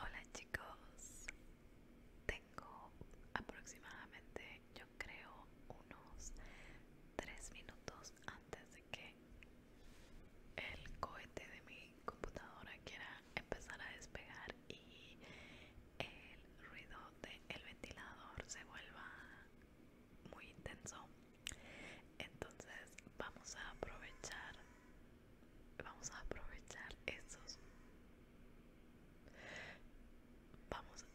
Hola chicos, tengo aproximadamente yo creo unos 3 minutos antes de que el cohete de mi computadora quiera empezar a despegar y el ruido el ventilador se vuelva muy intenso entonces vamos a aprovechar vamos a aprovechar esos vamos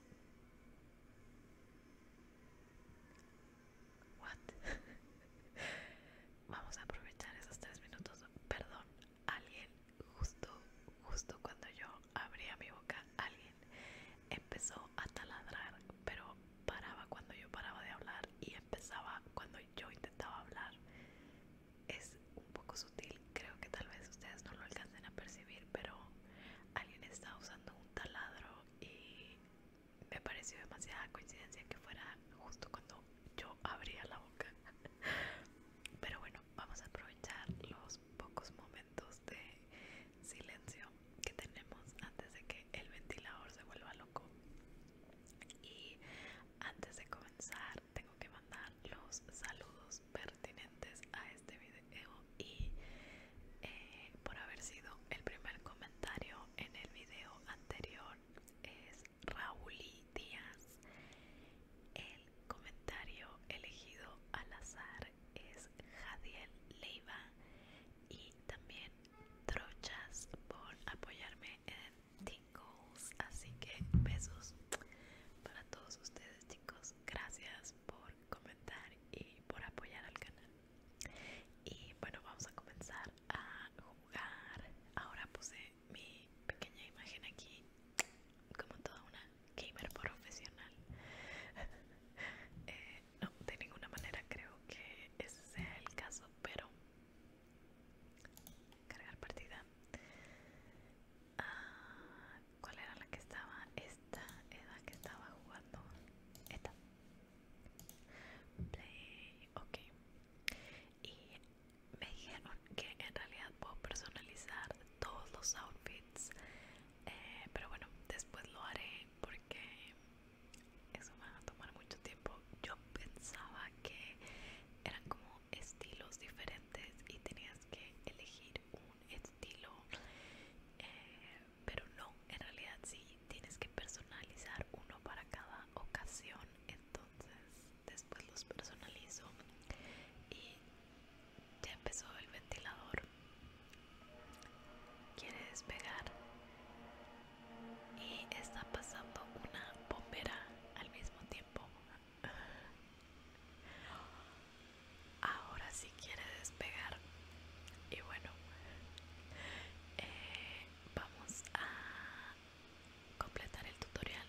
what vamos a aprovechar esos tres minutos perdón alguien justo justo cuando yo abría mi boca alguien empezó a taladrar pero paraba cuando yo paraba de hablar y empezaba cuando yo intentaba hablar es un poco sutil creo que tal vez ustedes no lo alcancen a percibir pero alguien estaba usando un taladro y me pareció demasiada coincidencia que fuera justo cuando yo abría la boca pero bueno vamos a aprovechar los pocos momentos de silencio que tenemos antes de que el ventilador se vuelva loco. Y antes de comenzar, tengo que mandar los saludos pertinentes a este video y eh, por haber sido el primer comentario en el video anterior es Raúl Díaz comentario elegido al azar es Jadiel Leiva y también Trochas por apoyarme en Tingles. Así que besos para todos ustedes, chicos. Gracias por comentar y por apoyar al canal. Y bueno, vamos a comenzar a jugar. Ahora puse mi pequeña imagen aquí como toda una gamer profesional. Eh, no, de ninguna manera creo que ese sea el caso, pero cargar partida. Ah, ¿Cuál era la que estaba? Esta era que estaba jugando. Esta. Play, ok. Y me dijeron que en realidad puedo personalizar todos los outfits eh, pero bueno después lo haré porque eso va a tomar mucho tiempo yo pensaba que eran como estilos diferentes y tenías que elegir un estilo eh, pero no en realidad sí tienes que personalizar uno para cada ocasión entonces después los personalizo y ya empezó el ventilador. Quiere despegar. Y está pasando una bombera al mismo tiempo. Ahora sí quiere despegar. Y bueno, eh, vamos a completar el tutorial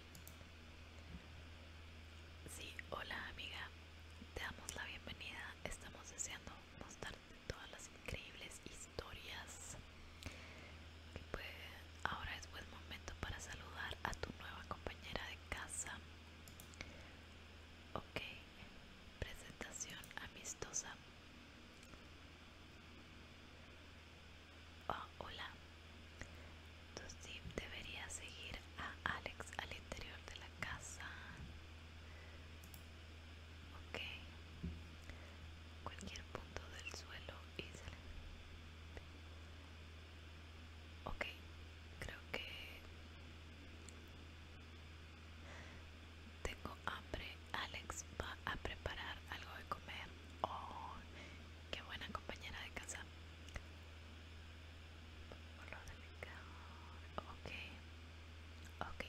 Sí, hola amiga, te damos la bienvenida. Estamos deseando mostrarte todas las increíbles historias. Pues, ahora es buen momento para saludar a tu nueva compañera de casa. Ok, presentación amistosa. Ah, hola, entonces debería seguir a Alex al interior de la casa. Ok. Cualquier punto del suelo y se le... Ok, creo que tengo hambre. Alex va a preparar algo de comer. Oh, qué buena compañera de casa. Color de Ok.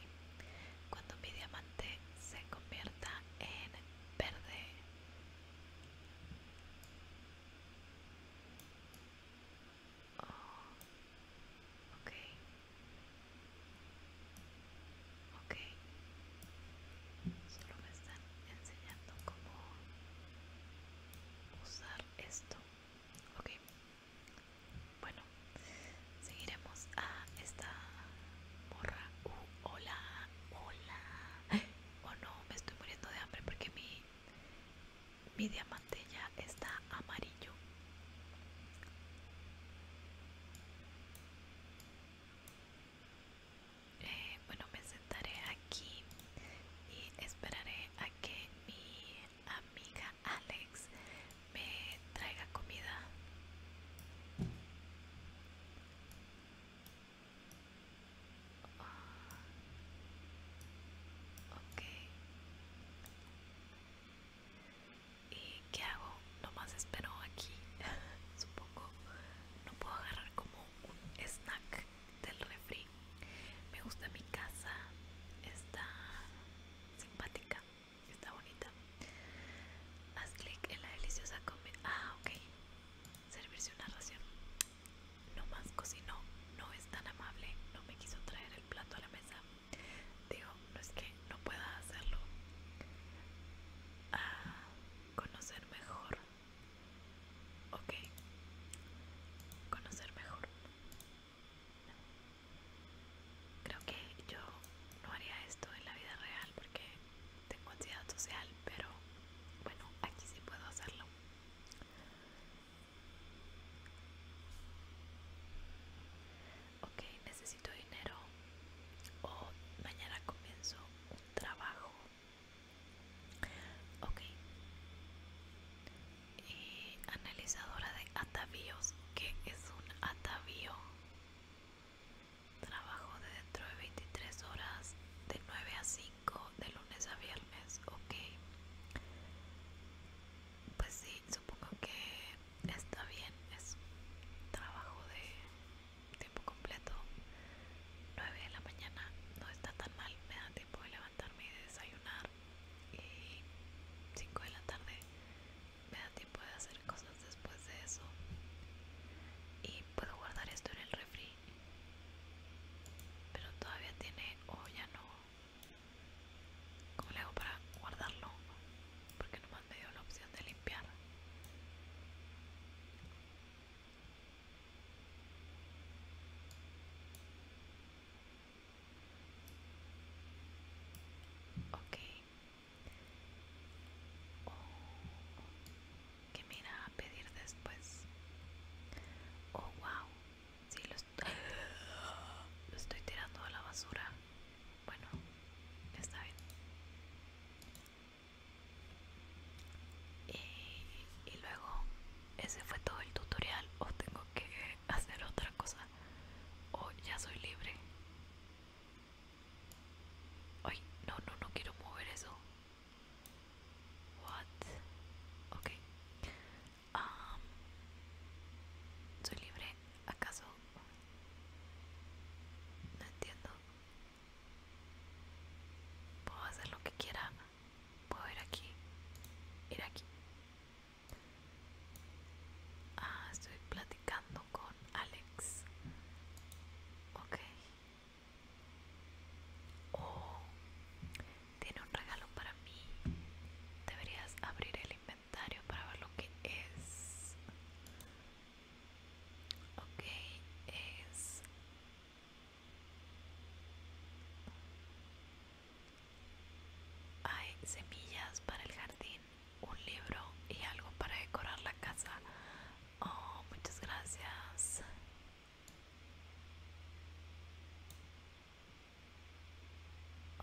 Cuando mi diamante se convierta en verde. Okay. Ok. Ok. Solo me están enseñando cómo usar esto ok bueno seguiremos a esta borra uh, hola hola oh no me estoy muriendo de hambre porque mi mi diamante ya está amarillo eh, bueno, bueno, sé estaré aquí y esperaré a que mi amiga Alex me traiga comida. Ah, ¿Y qué hago? Nomás espero aquí. Supongo no puedo agarrar como un snack del refri. Me gusta mi casa, está simpática, está bonita. Haz clic en la deliciosa comida. Ah, ok. Servirse una ración. No más cocinó, no es tan amable, no me quiso traer el plato a la mesa. Digo, no es que no pueda hacerlo. A ah, conocer mejor Ok. Conocer mejor. Creo que yo no haría esto en la vida real porque tengo ansiedad social, pero bueno, aquí sí puedo hacerlo. Ok, necesito dinero o mañana comienzo un trabajo Ok. Y eh, analizadora de atavíos. que es un atavío? Trabajo de dentro de 23 horas, de 9 a 5, de lunes a viernes. Ok. Pues sí, supongo que está bien. Es un trabajo de tiempo completo. 9 de la mañana no está tan mal, me da tiempo de levantarme y desayunar y 5 de la tarde me da tiempo de hacer cosas después de eso y puedo guardar esto en el refri pero todavía tiene o ya no como le hago para guardarlo? porque no me han dado la opción de limpiar Ok. Oh, que me irá a pedir después? Oh, wow. Sí, lo, estoy tirando a la basura. Bueno, está bien. y luego ese fue todo el tutorial o tengo que hacer otra cosa o ya soy libre ay no no no quiero mover eso what ok soy libre acaso no entiendo puedo hacer lo que quiera puedo ir aquí ir aquí ah estoy platicando con Alex ok oh tiene un regalo para mí deberías abrir el inventario para ver lo que es ok es hay semillas para el jardín, un libro y algo para decorar la casa. Oh, muchas gracias.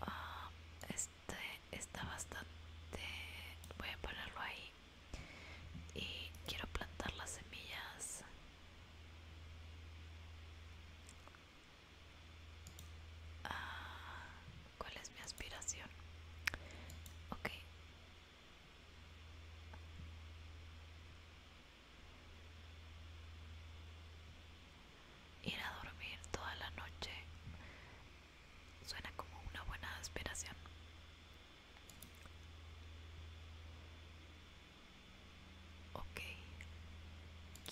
Ah, este está bastante... Voy a ponerlo ahí. Y quiero plantar las semillas. Ah, ¿Cuál es mi aspiración? Ok. Ir a dormir toda la noche suena como una buena aspiración. Ok.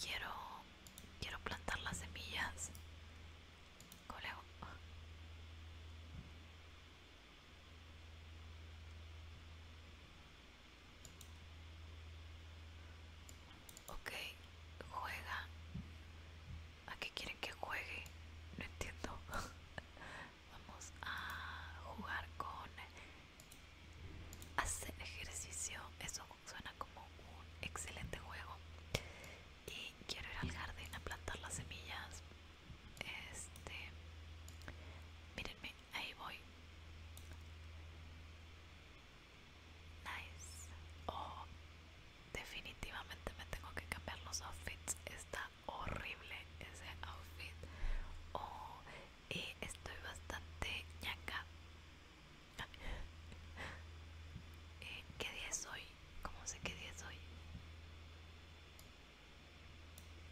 Quiero quiero plantar las semillas. Ok, juega. ¿A qué quieren que juegue? No entiendo. vamos a jugar con hacer ejercicio eso suena como un excelente juego y quiero ir al jardín a plantar las semillas este mírenme ahí voy nice oh definitivamente me tengo que cambiar los outfits está horrible ese outfit oh y eh, estoy bastante ñaca. Eh, ¿Qué día es hoy? ¿Cómo sé qué día es hoy?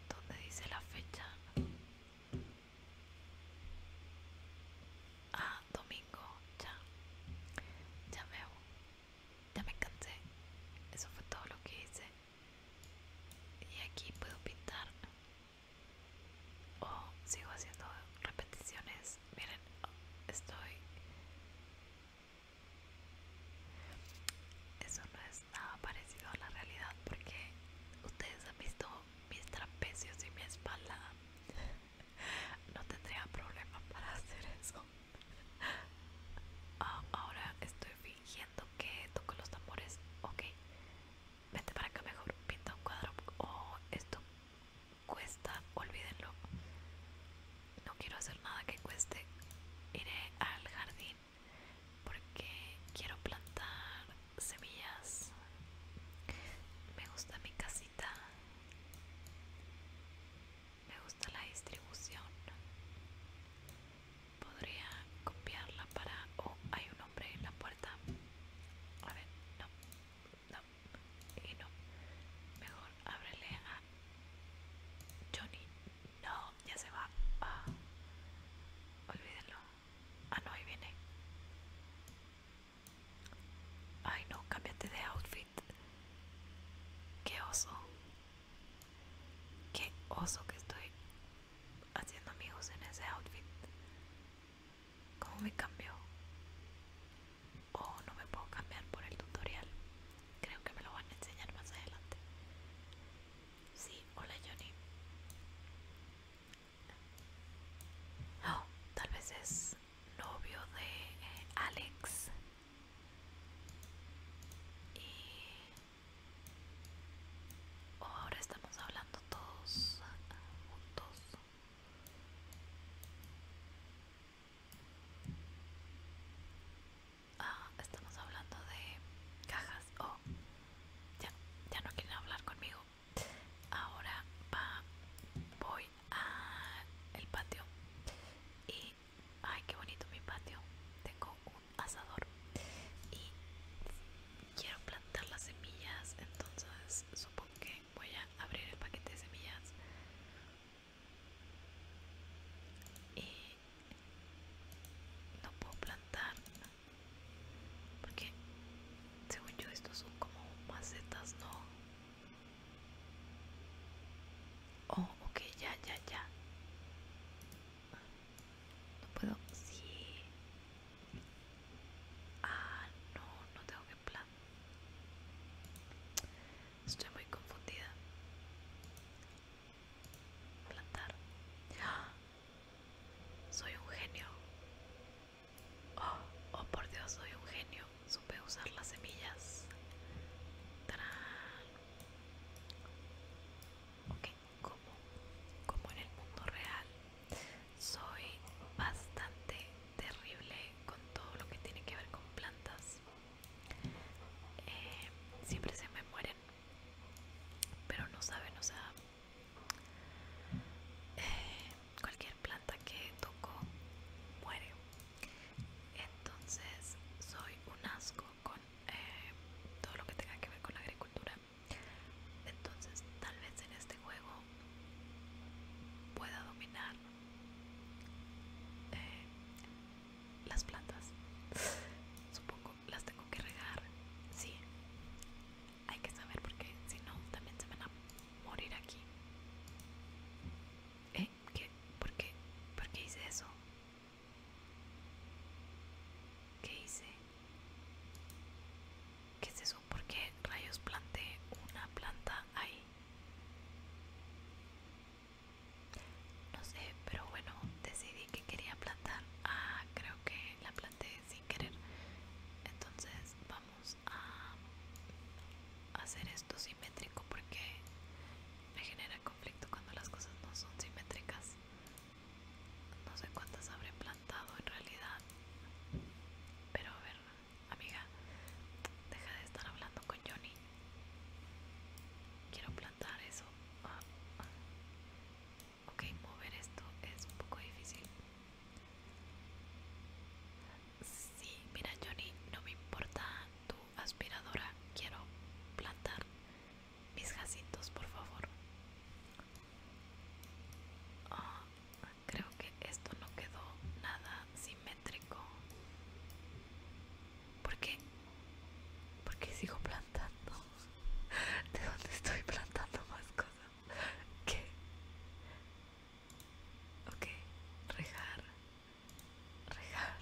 ¿Dónde dice la fecha? Ah, domingo, ya. Ya ya me cansé. Eso fue todo lo que hice y aquí puedo pintar o sigo haciendo repeticiones miren estoy eso no es nada parecido a la realidad porque ustedes han visto mis trapecios y mi espalda no tendría problema para hacer eso ah, ahora estoy fingiendo que toco los tambores ok vente para acá mejor, pinta un cuadro oh, esto cuesta, olvídenlo. No quiero hacer nada que cueste. Iré al jardín porque quiero plantar semillas. Me gusta mi casita. Me gusta la distribución podría copiarla para... Oh, hay un hombre en la puerta. A ver, no, no, y no. Mejor ábrele a Johnny. No, ya se va. Ah, olvídenlo. Ah, no, ahí viene. Ay, no, cámbiate de outfit. Qué oso. Qué oso que estoy haciendo amigos en ese outfit. ¿Cómo me cambió? O no me puedo cambiar por el tutorial. Creo que me lo van a enseñar más adelante. Sí, hola Johnny. Oh, tal vez es novio de eh, Alex. Y Ahora estamos hablando todos juntos. Ah, estamos hablando de cajas. Oh, ya, ya no quieren hablar conmigo. Ahora voy al patio. Y, ay, qué bonito mi patio. Tengo un asador y quiero plantar las semillas entonces supongo que voy a abrir el paquete de semillas y no puedo plantar porque según yo estos son como macetas no oh ok ya ya ya no puedo. Sí. Ah, no, no tengo que plantar Estoy muy confundida. Plantar. ¡Ah! Soy un genio. Oh, oh por Dios, soy un genio. Supe usar las semillas. ¡Tarán! Ok, como, como en el mundo real soy bastante terrible con todo lo que tiene que ver con plantas eh, siempre se me mueren pero no saben o sea eh, cualquier planta que toco muere entonces soy un asco con eh, todo lo que tenga que ver con la agricultura entonces tal vez en este juego pueda dominar eh, las plantas. Supongo las tengo que regar. Sí, hay que saber qué, si no también se van a morir aquí. ¿Eh? ¿Qué? ¿Por qué? ¿Por qué hice eso? ¿Qué hice? ¿Qué es eso? ¿Por qué rayos planté una planta ahí? No sé, pero bueno, decidí que quería plantar. Ah, creo que la planté sin querer. Entonces vamos a hacer esto simétrico porque me genera conflicto cuando las cosas no son simétricas. No sé cuántas habré plantado en realidad. Pero a ver, amiga, deja de estar hablando con Johnny. Quiero plantar eso. Ah, ok, mover esto es un poco difícil. Sí, mira Johnny, no me importa tu aspiradora. Quiero plantar mis jacitos por favor. Ah, creo que esto no quedó nada simétrico. ¿Por qué? sigo plantando? ¿De dónde estoy plantando más cosas? ¿Qué? Ok, Rejar. Rejar.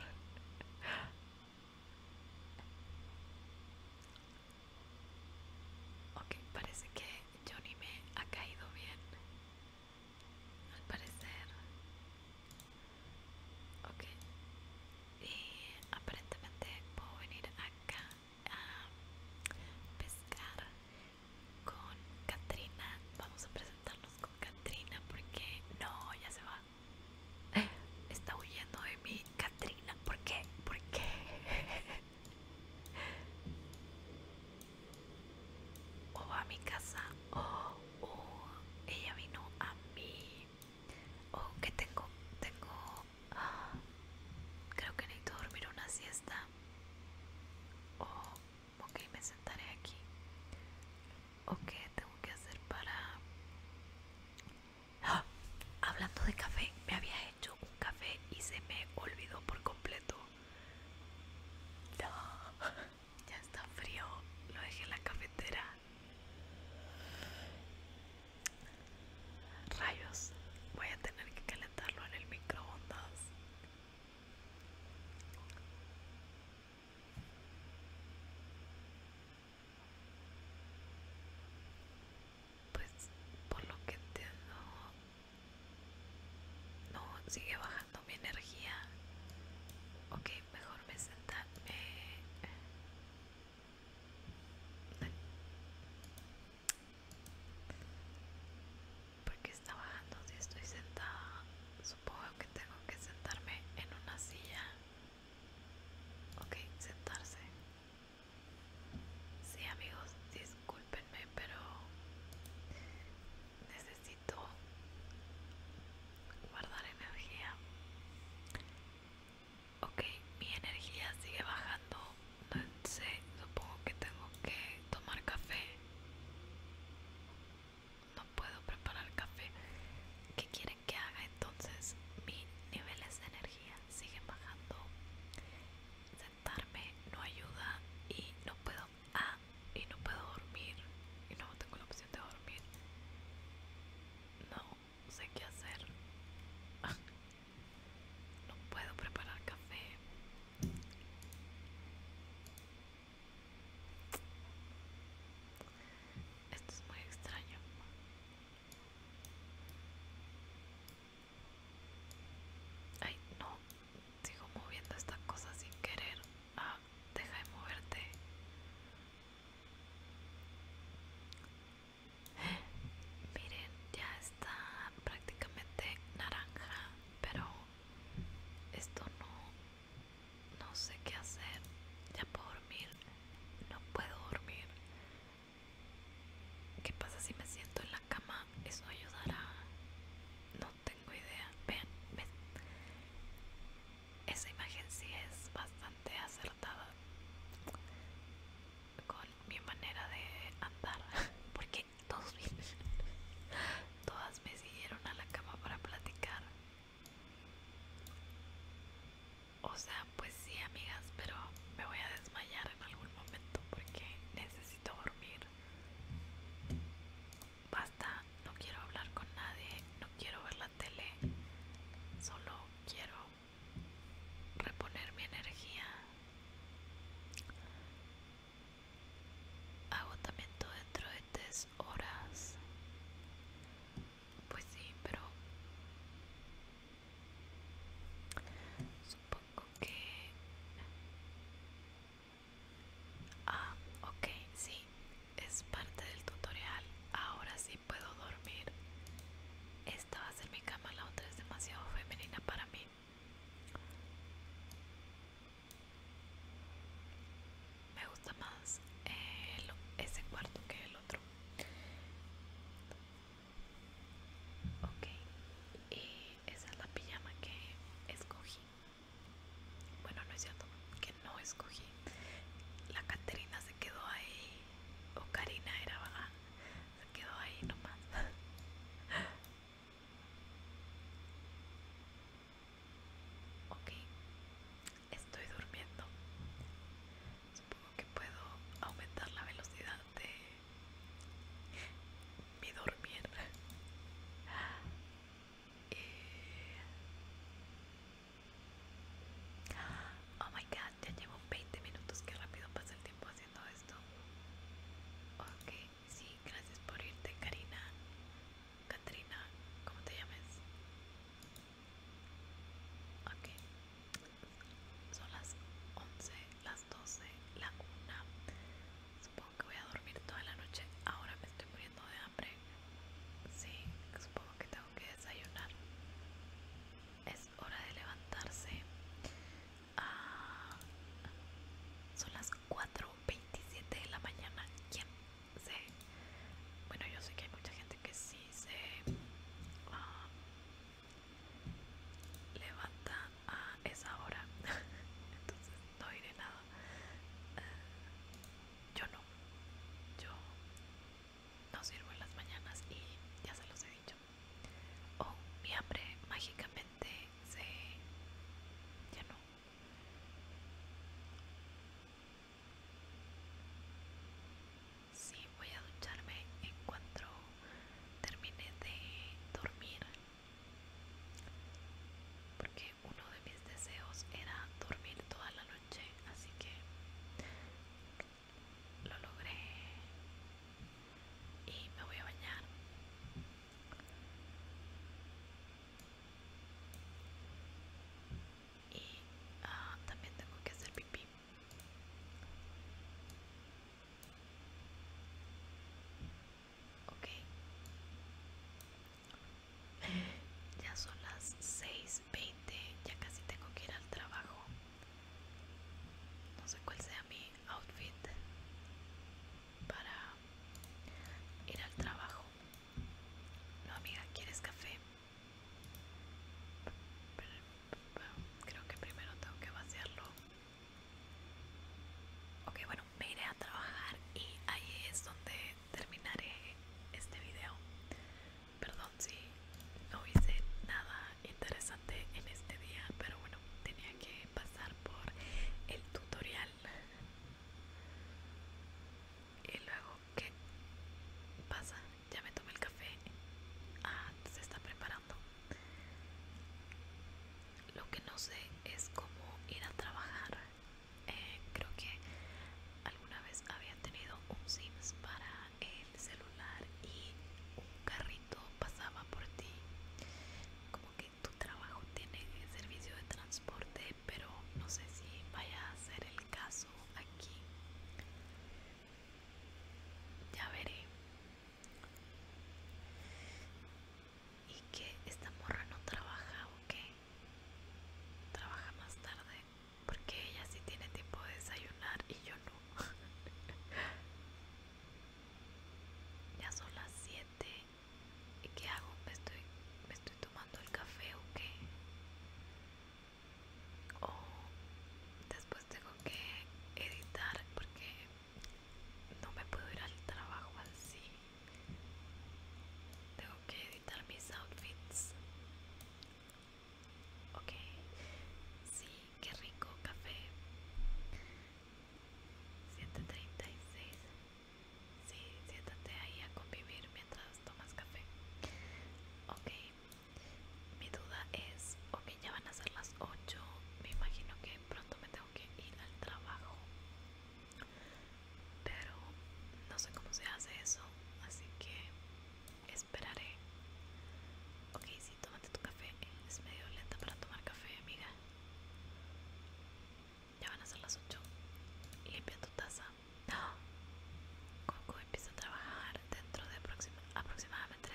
Ok, parece que Johnny me ha caído bien. Al parecer. Ok. Y aparentemente puedo venir acá a pescar con Katrina. Vamos a presentarnos con Katrina porque no, ya se va. Está huyendo de mí Katrina, ¿por qué? ¿Por qué? o va a mi casa, o ella vino a mí, o qué tengo, tengo, ah, creo que necesito dormir una siesta, o qué? ok, me sentaré aquí, o qué tengo que hacer para Hablando de café, me había hecho un café y se me olvidó por completo. ya está frío, lo dejé en la cafetera. Rayos, voy a tener que calentarlo en el microondas pues por lo que entiendo no sigue bajando mi energía ok mejor me senta ¿Por qué está bajando si estoy sentada supongo que tengo que sentarme en una silla ok sentarse Sí amigos, discúlpenme, pero necesito guardar energía. Ok, mi energía sigue bajando. No sé, supongo que tengo que tomar café. No puedo preparar café. ¿Qué quieren que haga entonces? Mi niveles de energía siguen bajando. Sentarme no ayuda y no puedo ah, y no puedo dormir y no tengo la opción de dormir. No sé qué hacer. no puedo preparar café. Esto es muy extraño. Ay, no, sigo moviendo esta cosa sin querer. Ah, deja de moverte. Miren, ya está prácticamente naranja, pero esto no, no sé qué hacer. Ya puedo dormir, no puedo dormir. ¿Qué pasa si me siento en la cama? ¿Eso ayudará? No tengo idea. Vean, ven. Esa imagen sí es bastante acertada con mi manera de andar. Porque todos todas me siguieron a la cama para platicar. O sea, pues sí, amigas, pero me voy a desmayar en algún momento porque necesito dormir. Basta, no quiero hablar con nadie, no quiero ver la tele, solo quiero reponer mi energía. Agotamiento dentro de tres horas. Pues sí, pero Supongo que... Ah, ok, sí, es parte del tutorial. Ahora sí puedo dormir. Esta va a ser mi cama, la otra es demasiado femenina para mí. Me gusta más ese cuarto que el otro. Ok, y esa es la pijama que escogí. Bueno, no es cierto, que no escogí. La Caterina se quedó ahí, o Karina era, ¿verdad? Se quedó ahí nomás. ok, estoy durmiendo. Supongo que puedo aumentar la velocidad de mi dormir. Eh, oh my god, ya llevo 20 minutos, Qué rápido pasa el tiempo haciendo esto. Ok, sí, gracias por irte, Karina. Katrina, ¿cómo te llames? Ok, son las 11, las 12, la 1. Supongo que voy a dormir toda la noche. Ahora me estoy muriendo de hambre. Sí, supongo que tengo que desayunar. Es hora de levantarse. Ah, son las 4.27 de la mañana. ¿Quién se? Bueno, yo sé que hay mucha gente que sí se... Ah, levanta a esa hora entonces no diré nada eh, yo no yo no sirvo en las mañanas y ya se los he dicho o oh, mi hambre mágicamente se no Sí, voy a ducharme en cuanto termine de dormir. Porque uno de mis deseos era dormir toda la noche, así que lo logré y me voy a bañar. Y ah, también tengo que hacer pipí. Ok. Ya son las 6.20, ya casi tengo que ir al trabajo. No sé cuál sea mi outfit para ir al trabajo. No, amiga, ¿quieres café? Creo que primero tengo que vaciarlo. Ok, bueno, me iré a trabajar y ahí es donde terminaré este video. Perdón si no hice nada interesante en este día, pero bueno, tenía que pasar por el tutorial. Y luego, ¿qué pasa? Ya me tomé el café. Ah, se está preparando. Lo que no sé es cómo ir a trabajar. Eh, creo que alguna vez había tenido un Sims para el celular y un carrito pasaba por ti. Como que tu trabajo tiene servicio de transporte, pero no sé si vaya a ser el caso aquí. Ya veré. Y que esta morra no trabaja o qué? Trabaja más tarde. Porque ella sí tiene tiempo de desayunar y yo no. ya son las 7. ¿Y qué hago? ¿Me estoy, me estoy tomando el café o qué? o oh, después tengo que editar porque no me puedo ir al trabajo así tengo que editar mis outfits ok sí qué rico café 736 Sí, siéntate ahí a convivir mientras tomas café. Ok, mi duda es, ok, ya van a ser las 8, me imagino que pronto me tengo que ir al trabajo, pero no sé cómo se hace eso, así que esperaré. Ok, sí, tómate tu café, es medio lenta para tomar café, amiga. Ya van a ser las 8. Limpia tu taza. Coco ¡Ah! empieza a trabajar dentro de aproximadamente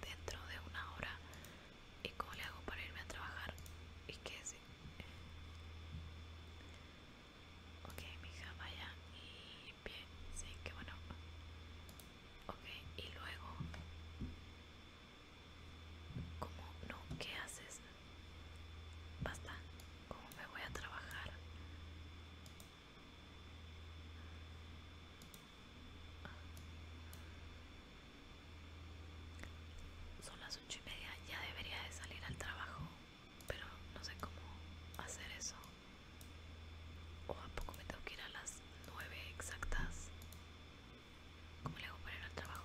dentro de una hora y cómo le hago para irme a trabajar y que si Ok, mija, vaya y bien si que bueno. Ok, y luego. como no? ¿Qué haces? Basta. como me voy a trabajar? Son las ocho y media, ya debería de salir al trabajo, pero no sé cómo hacer eso. O a poco me tengo que ir a las nueve exactas. ¿Cómo le hago para ir al trabajo?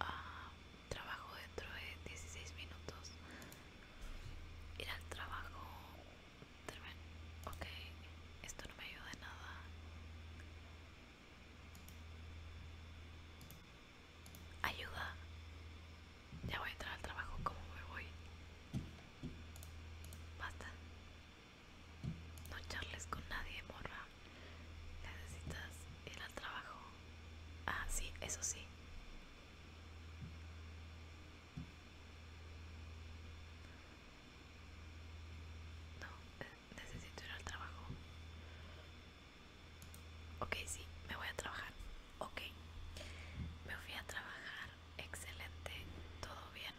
Ah, trabajo dentro de 16 minutos ir al trabajo ok esto no me ayuda nada ayuda ya voy a entrar al trabajo como me voy basta no charles con nadie morra necesitas ir al trabajo ah sí eso sí no necesito ir al trabajo ok sí me voy a trabajar ok me fui a trabajar excelente todo bien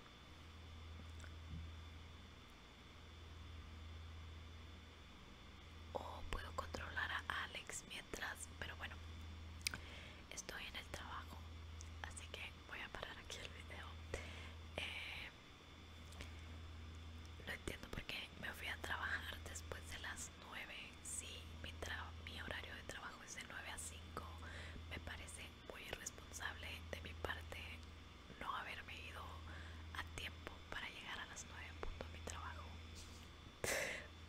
o puedo controlar a Alex mientras pero bueno estoy en el trabajo así que voy a parar aquí el video eh, no entiendo por porque me fui a trabajar después de las 9 sí, mi, mi horario de trabajo es de 9 a 5 me parece muy irresponsable de mi parte no haberme ido a tiempo para llegar a las 9 en punto a mi trabajo.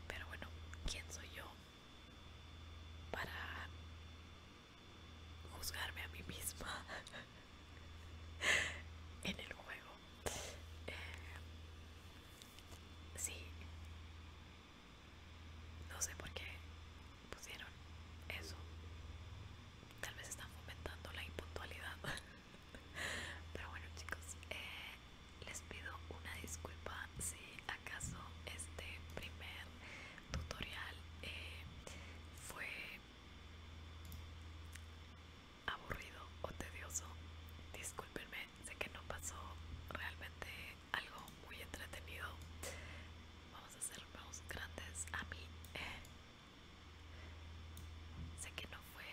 Pero bueno, ¿quién soy yo para juzgarme a mí misma en el juego? Eh, sí, no sé por qué pusieron eso. Tal vez están fomentando la impuntualidad. Pero bueno chicos, eh, les pido una disculpa si acaso este primer tutorial eh, fue aburrido o tedioso. Discúlpenme, sé que no pasó realmente algo muy entretenido. Vamos a hacer unos grandes a mí. Eh, Sé que no fue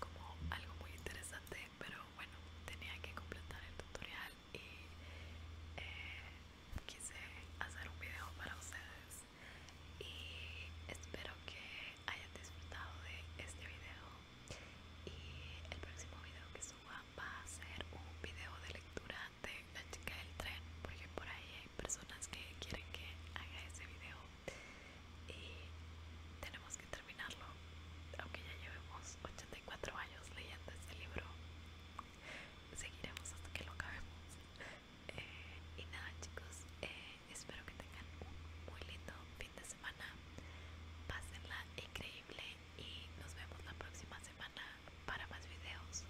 como algo muy interesante, pero bueno, tenía que completar el tutorial y eh, quise hacer un video para ustedes. Y espero que hayan disfrutado de este video. Y el próximo video que suba va a ser un video de lectura de La chica del tren, porque por ahí personas que quieren que haga ese video y tenemos que terminarlo aunque ya llevemos 84 años leyendo este libro seguiremos hasta que lo acabemos eh, y nada chicos eh, espero que tengan un muy lindo fin de semana pásenla increíble y nos vemos la próxima semana para más videos